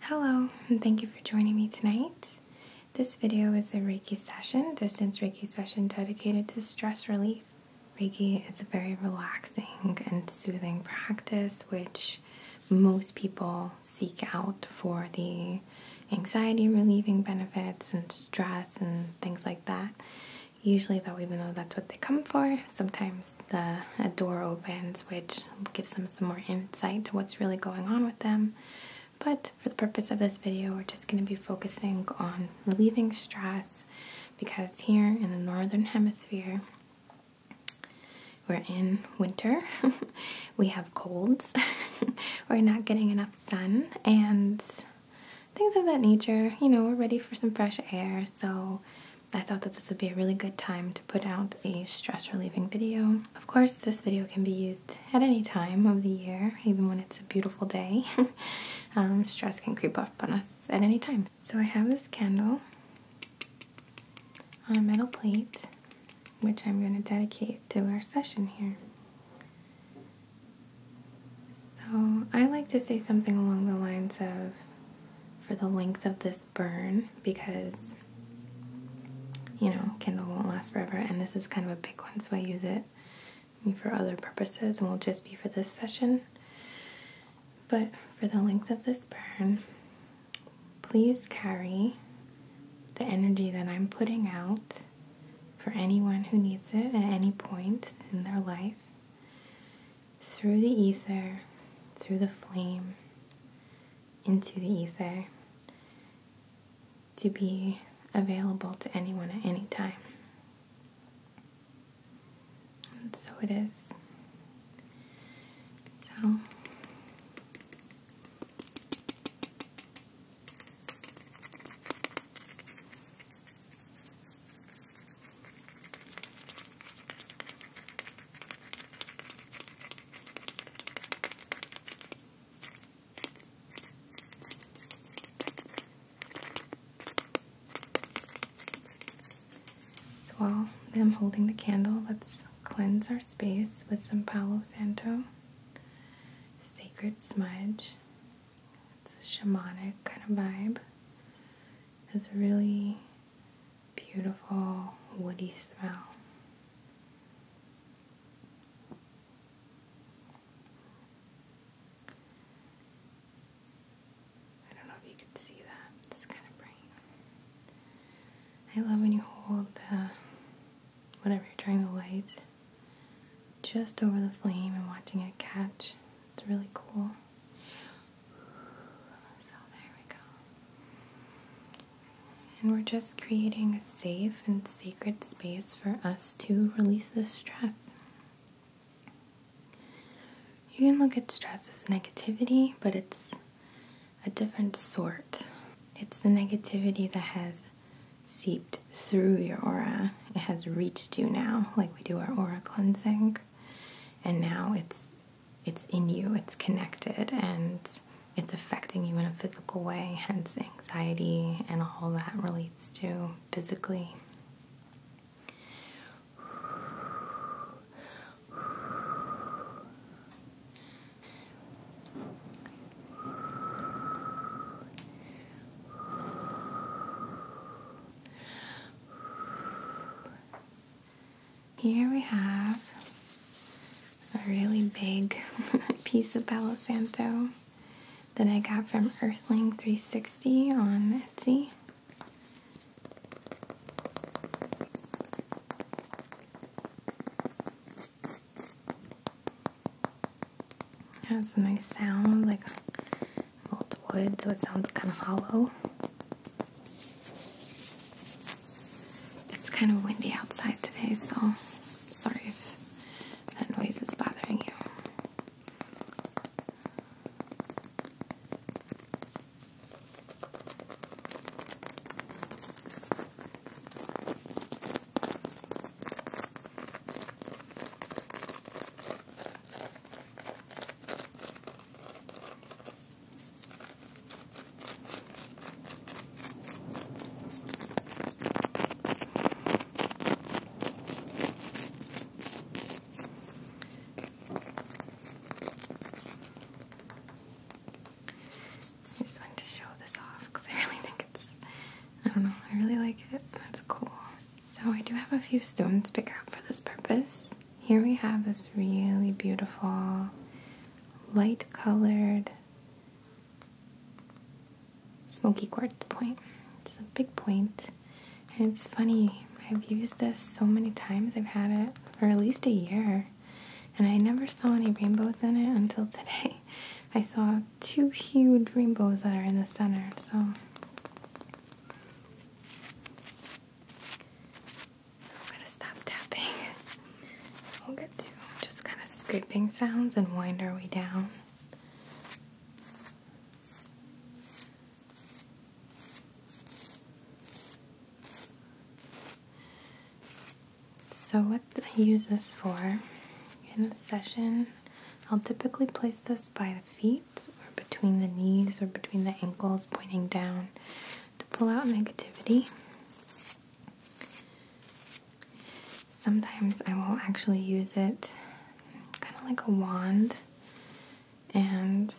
Hello, and thank you for joining me tonight. This video is a Reiki session, distance Reiki session dedicated to stress relief. Reiki is a very relaxing and soothing practice which most people seek out for the anxiety relieving benefits and stress and things like that. Usually, though, even though that's what they come for, sometimes the a, door opens, which gives them some more insight to what's really going on with them. But for the purpose of this video, we're just going to be focusing on relieving stress because here in the northern hemisphere, we're in winter, we have colds, we're not getting enough sun, and things of that nature. You know, we're ready for some fresh air, so I thought that this would be a really good time put out a stress relieving video. Of course, this video can be used at any time of the year, even when it's a beautiful day. Um, stress can creep up on us at any time. So I have this candle on a metal plate, which I'm going to dedicate to our session here. So I like to say something along the lines of, for the length of this burn because you know, Kindle won't last forever, and this is kind of a big one, so I use it for other purposes and will just be for this session. But for the length of this burn, please carry the energy that I'm putting out for anyone who needs it at any point in their life through the ether, through the flame, into the ether to be available to anyone at any time. And so it is. So. So while I'm holding the candle, let's cleanse our space with some Palo Santo Sacred Smudge. It's a shamanic kind of vibe. It's really beautiful woody smell. I don't know if you can see that, it's kind of bright. I love when you hold the whatever you're trying to light just over the flame and watching it catch. It's really cool. So there we go. And we're just creating a safe and sacred space for us to release this stress. You can look at stress as negativity, but it's a different sort. It's the negativity that has seeped through your aura. It has reached you now, like we do our aura cleansing. And now it's it's in you, it's connected, and it's affecting you in a physical way, hence anxiety and all that relates to physically. Here we have a really big piece of Palo that I got from Earthling360 on Etsy. Has a nice sound, like old wood, so it sounds kind of hollow. It's kind of windy outside today, so sorry if that noise is bothering you. I just wanted to show this off because I really think it's, I don't know, I really like it. That's cool. So I do have a few stones picked out for this purpose. Here we have this really beautiful light colored smoky quartz point. It's a big point, and it's funny. I've used this so many times. I've had it for at least a year, and I never saw any rainbows in it until today. I saw two huge rainbows that are in the center, so so I'm gonna stop tapping. We'll get to just kind of scraping sounds and wind our way down. So what I use this for in the session, I'll typically place this by the feet or between the knees or between the ankles pointing down to pull out negativity. Sometimes I will actually use it kind of like a wand and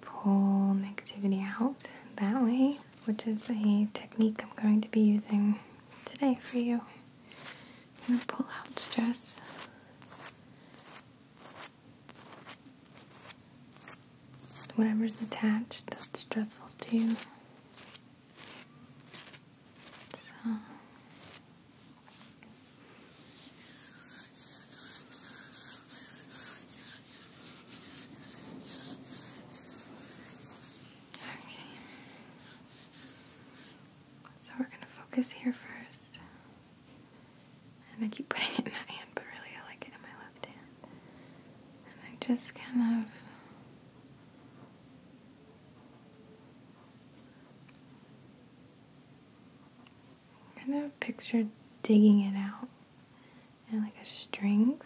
pull negativity out that way, which is a technique I'm going to be using today for you. to pull out stress Whatever's attached that's stressful too. So. Okay. So we're going to focus here first. And I keep putting it in that hand, but really I like it in my left hand. And I just kind of kind of picture digging it out and like a string.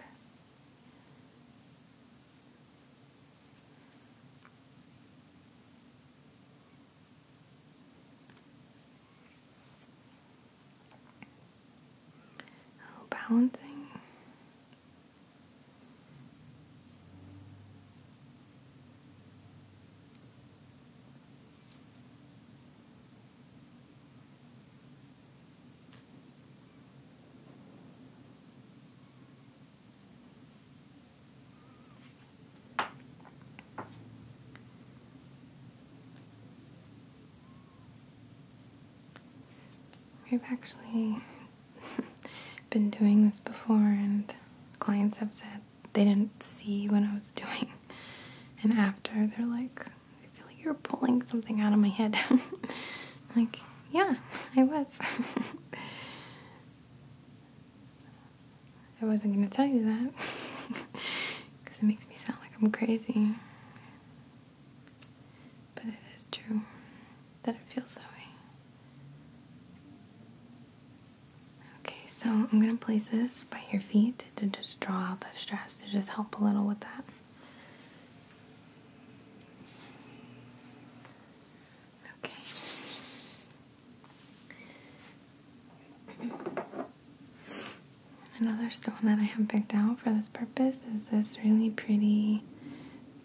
Oh, balancing. I've actually been doing this before, and clients have said they didn't see what I was doing. And after, they're like, I feel like you're pulling something out of my head. like, yeah, I was. I wasn't going to tell you that because it makes me sound like I'm crazy. But it is true that it feels that way. Okay, so I'm gonna place this by your feet to just draw out the stress, to just help a little with that. Okay. Another stone that I have picked out for this purpose is this really pretty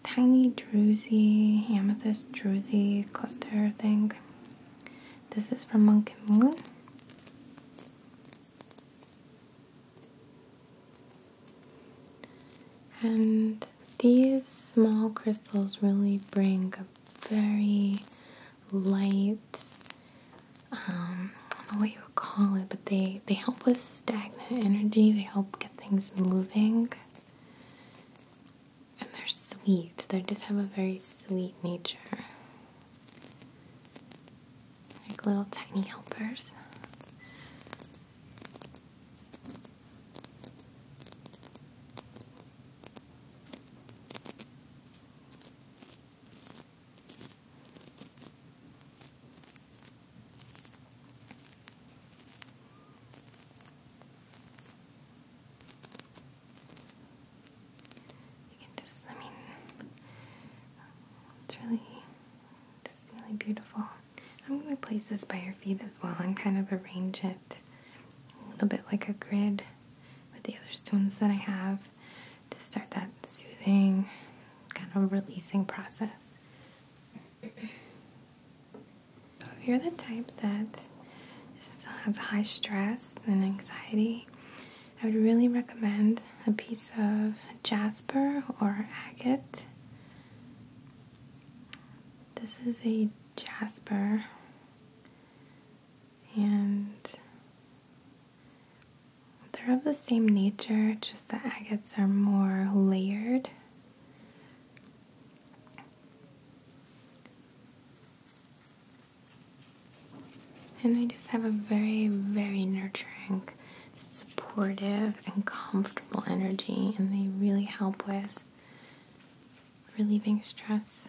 tiny druzy, amethyst druzy cluster thing. This is from Monk and Moon. And these small crystals really bring a very Lights. Um, I don't know what you would call it, but they they help with stagnant energy. They help get things moving, and they're sweet. They just have a very sweet nature, like little tiny helpers. I mean, it's really, just really beautiful. I'm going to place this by your feet as well and kind of arrange it a little bit like a grid with the other stones that I have to start that soothing, kind of releasing process. if you're the type that has high stress and anxiety, I would really recommend a piece of jasper or agate. This is a jasper, and they're of the same nature, just the agates are more layered. And they just have a very, very nurturing, supportive, and comfortable energy, and they really help with relieving stress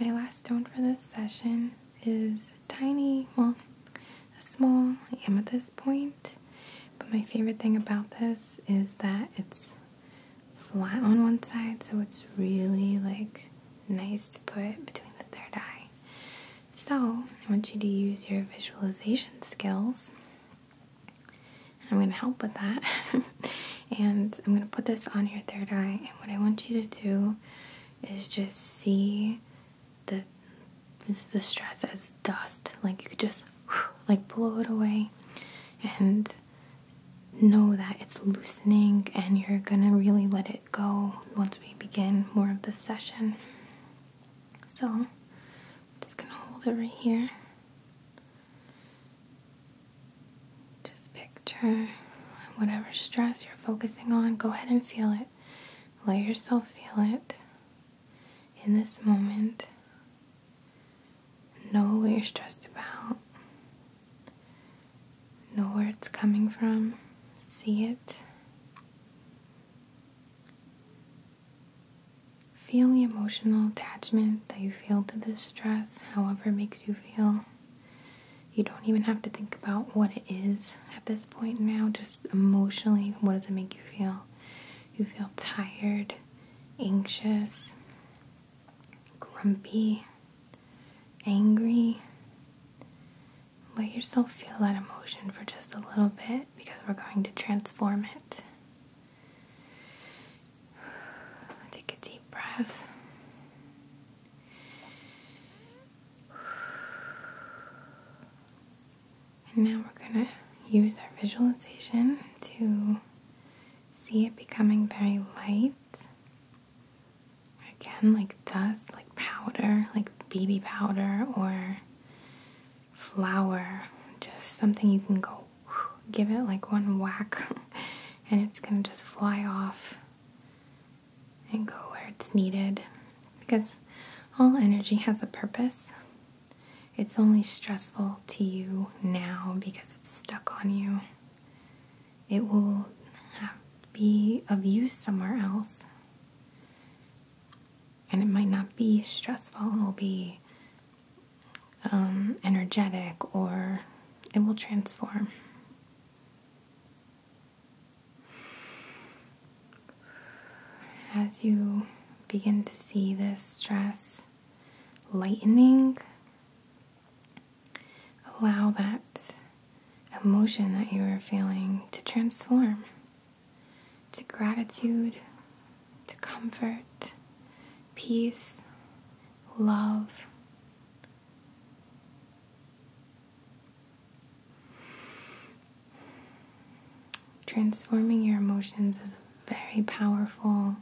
My last stone for this session is tiny, well, a small amethyst point. But my favorite thing about this is that it's flat on one side, so it's really like nice to put between the third eye. So, I want you to use your visualization skills I'm going to help with that. and I'm going to put this on your third eye. And what I want you to do is just see the the stress as dust. Like you could just like blow it away and know that it's loosening and you're going to really let it go once we begin more of the session. So I'm just gonna hold it right here. Just picture whatever stress you're focusing on, go ahead and feel it. Let yourself feel it in this moment. Know what you're stressed about. Know where it's coming from. See it. Feel the emotional attachment that you feel to this stress, however it makes you feel. You don't even have to think about what it is at this point now, just emotionally, what does it make you feel? You feel tired, anxious, grumpy, angry. Let yourself feel that emotion for just a little bit because we're going to transform it. Take a deep breath. And now we're going to use our visualization to see it becoming very light. Again, like dust, like powder, like baby powder, or flower, just something you can go give it like one whack and it's going to just fly off and go where it's needed because all energy has a purpose. It's only stressful to you now because it's stuck on you. It will be of use somewhere else and it might not be stressful, it will be um, energetic or it will transform. As you begin to see this stress lightening, allow that emotion that you are feeling to transform to gratitude, to comfort, peace, love. Transforming your emotions is a very powerful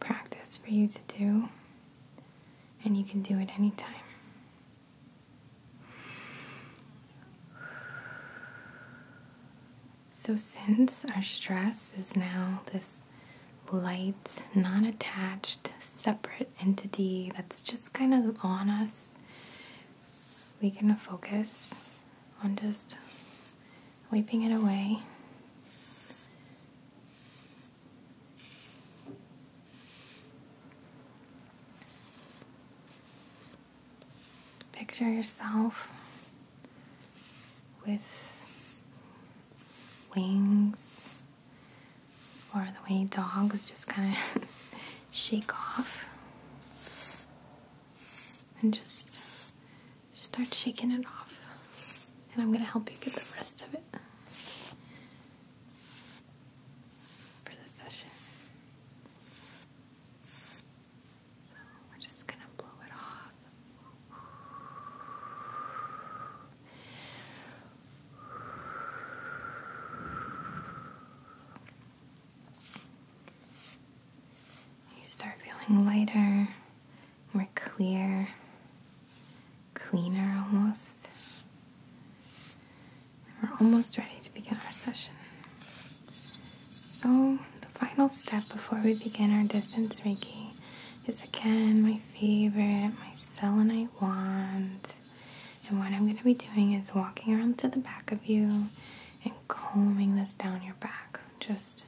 practice for you to do, and you can do it anytime. So, since our stress is now this light, non attached, separate entity that's just kind of on us, we can focus on just wiping it away. Picture yourself with wings or the way dogs just kind of shake off and just, start shaking it off. And I'm going to help you get the rest of it. for the session. So we're just going to blow it off. You start feeling lighter, more clear, cleaner almost. We're almost ready to begin our session. So, the final step before we begin our distance Reiki is again my favorite, my selenite wand. And what I'm going to be doing is walking around to the back of you and combing this down your back. Just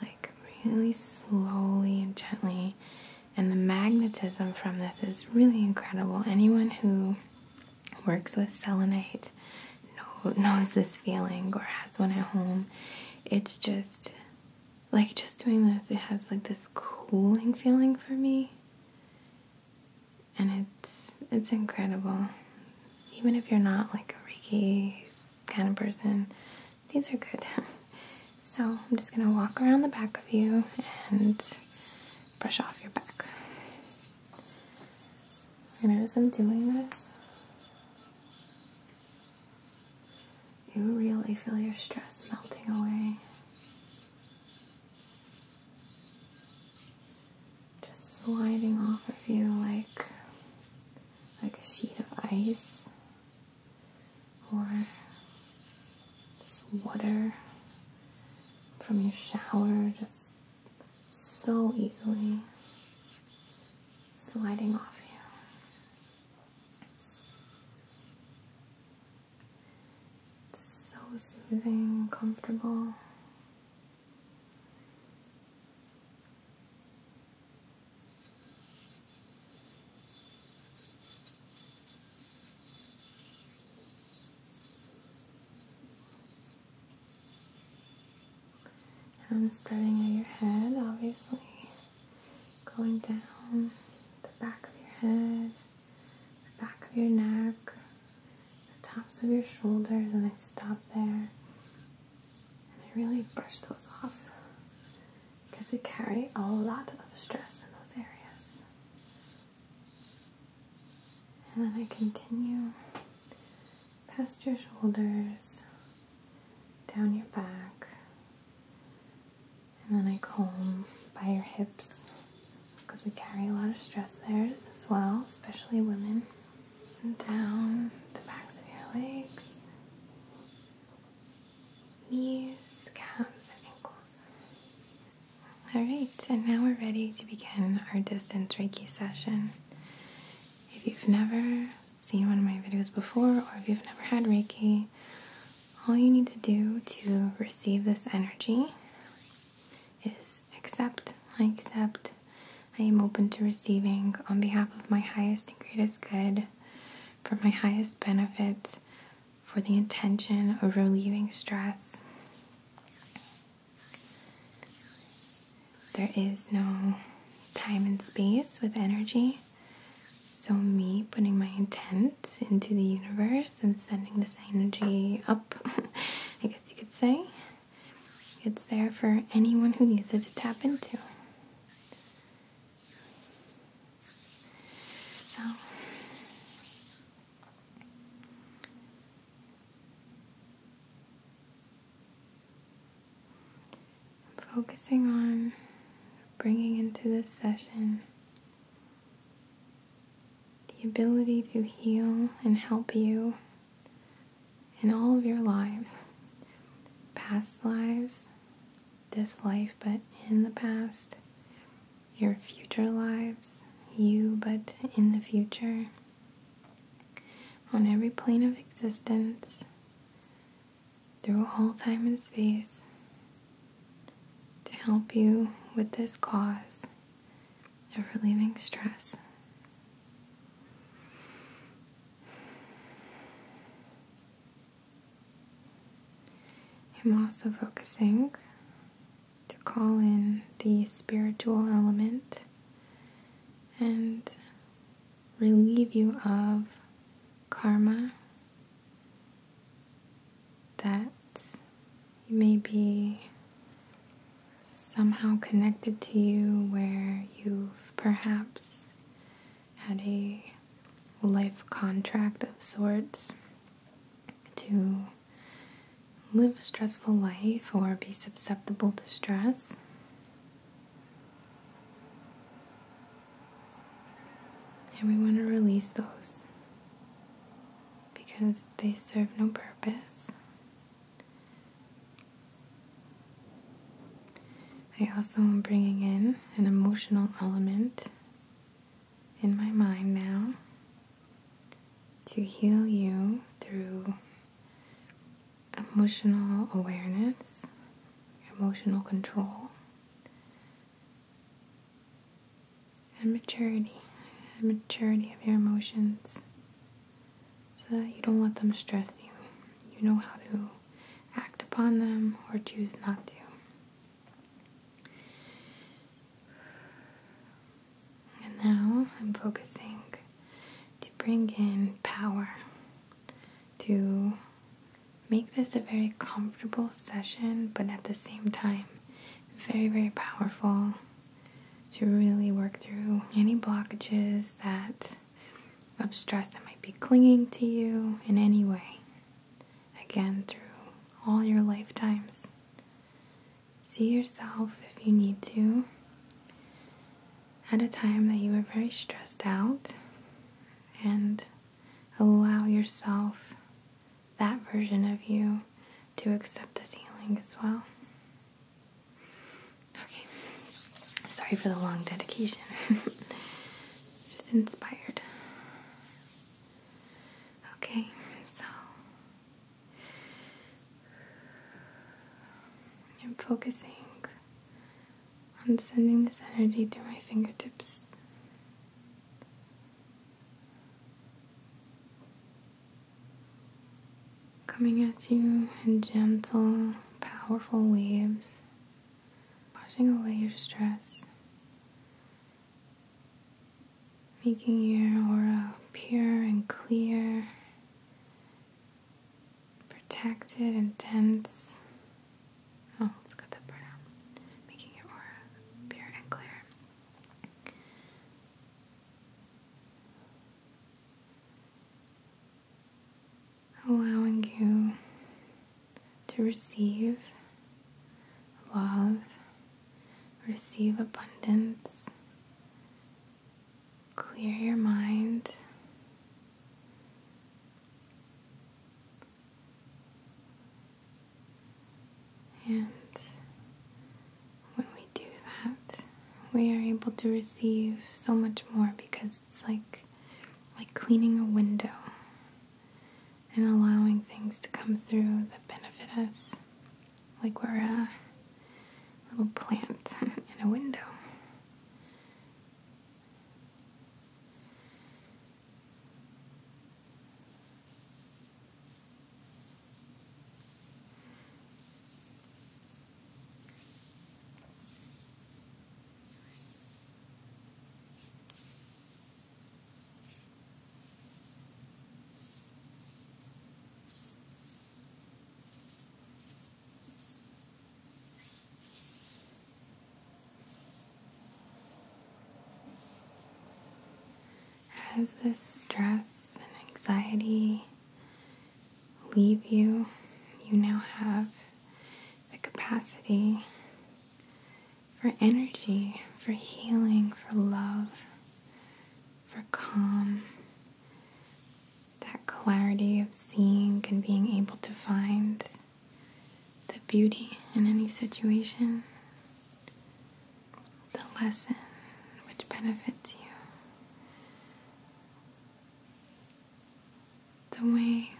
like really slowly and gently. And the magnetism from this is really incredible. Anyone who works with selenite knows this feeling or has one at home. It's just like just doing this, it has like this cooling feeling for me. And it's it's incredible. Even if you're not like a Reiki kind of person, these are good. so I'm just gonna walk around the back of you and brush off your back. And as I'm doing this, you really feel your stress melting away. Just sliding off of you like like a sheet of ice or just water from your shower just so easily sliding off you. so soothing, comfortable. I'm starting at your head, obviously, going down the back of your head, the back of your neck, the tops of your shoulders, and I stop there. And I really brush those off because we carry a lot of stress in those areas. And then I continue past your shoulders, down your back, and then I comb by your hips because we carry a lot of stress there as well, especially women. down the backs of your legs, knees, calves, and ankles. Alright, and now we're ready to begin our distance Reiki session. If you've never seen one of my videos before, or if you've never had Reiki, all you need to do to receive this energy is accept. I accept. I am open to receiving on behalf of my highest and greatest good, for my highest benefit, for the intention of relieving stress. There is no time and space with energy. So, me putting my intent into the universe and sending this energy up, I guess you could say, it's there for anyone who needs it to tap into. So, I'm focusing on bringing into this session the ability to heal and help you in all of your lives past lives, this life, but in the past, your future lives, you, but in the future on every plane of existence, through all time and space, to help you with this cause of relieving stress. I'm also focusing to call in the spiritual element and relieve you of karma that you may be somehow connected to you where you've perhaps had a life contract of sorts to live a stressful life or be susceptible to stress. And we want to release those because they serve no purpose. I also am bringing in an emotional element in my mind now to heal you through emotional awareness, emotional control, and maturity. And maturity of your emotions so that you don't let them stress you. You know how to act upon them or choose not to. And now I'm focusing to bring in power to make this a very comfortable session, but at the same time, very, very powerful to really work through any blockages that of stress that might be clinging to you in any way. Again, through all your lifetimes. See yourself if you need to at a time that you are very stressed out and allow yourself that version of you to accept this healing as well. Okay, sorry for the long dedication, just inspired. Okay, so I'm focusing on sending this energy through my fingertips. Coming at you in gentle, powerful waves, washing away your stress, making your aura pure and clear protected and dense. Oh, let's cut that part out. Making your aura pure and clear. Allowing you to receive love, receive abundance, clear your mind. And when we do that, we are able to receive so much more because it's like like cleaning a window and allowing things to come through that benefit us like we're a little plant in a window. As this stress and anxiety leave you, you now have the capacity for energy, for healing, for love, for calm, that clarity of seeing and being able to find the beauty in any situation, the lesson which benefits you. The way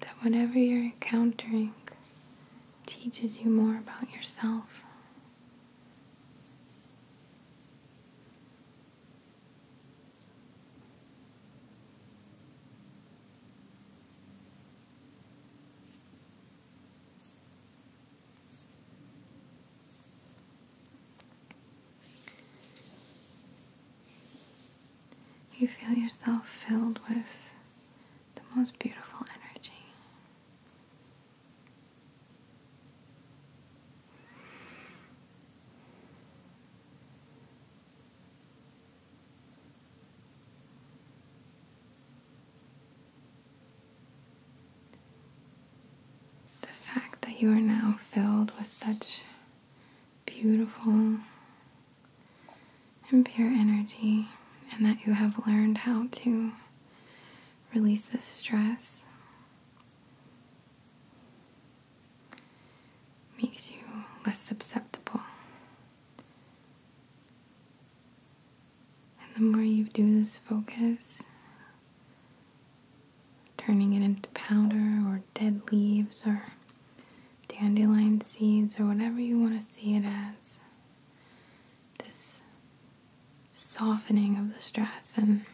that whatever you're encountering teaches you more about yourself. You feel yourself filled with the most beautiful energy. The fact that you are now filled with such beautiful and pure energy, and that you have learned how to release this stress makes you less susceptible. And the more you do this focus, turning it into powder or dead leaves or dandelion seeds or whatever you want to see it as, this softening of the stress and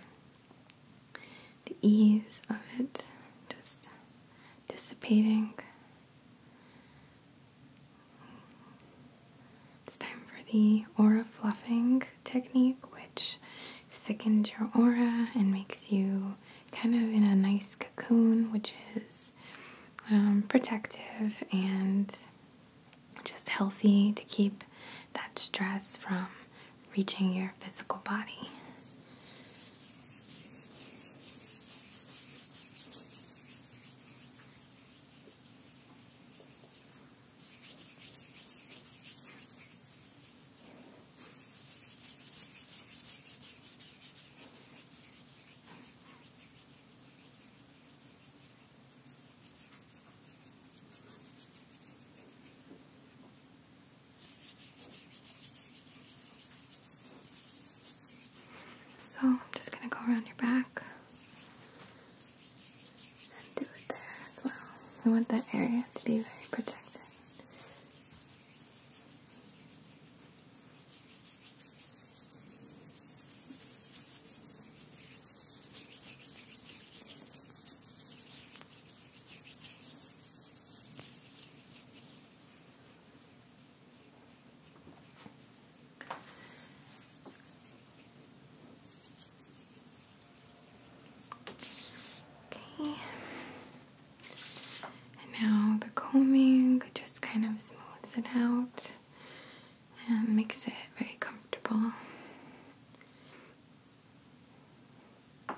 the ease of it just dissipating. It's time for the aura fluffing technique, which thickens your aura and makes you kind of in a nice cocoon, which is um, protective and just healthy to keep that stress from reaching your physical body. So I'm just going to go around your back and do it there as well. We want that area to be very protected. Okay. And now the combing just kind of smooths it out and makes it very comfortable. I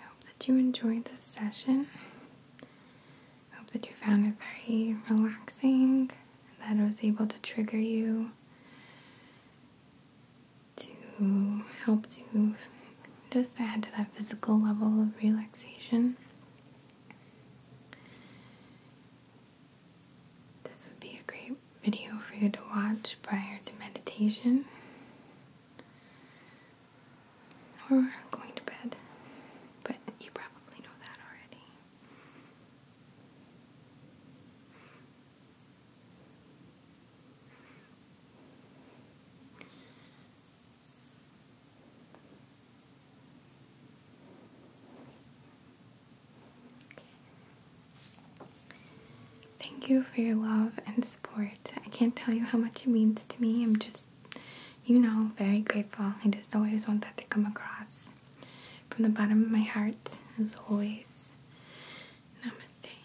hope that you enjoyed this session. I hope that you found it very relaxing, that it was able to trigger you to help to just add to that physical level of relaxation. This would be a great video for you to watch prior to meditation or going to bed, but you probably know that already. Thank you for your love and support. I can't tell you how much it means to me. I'm just, you know, very grateful. I just always want that to come across from the bottom of my heart, as always. Namaste.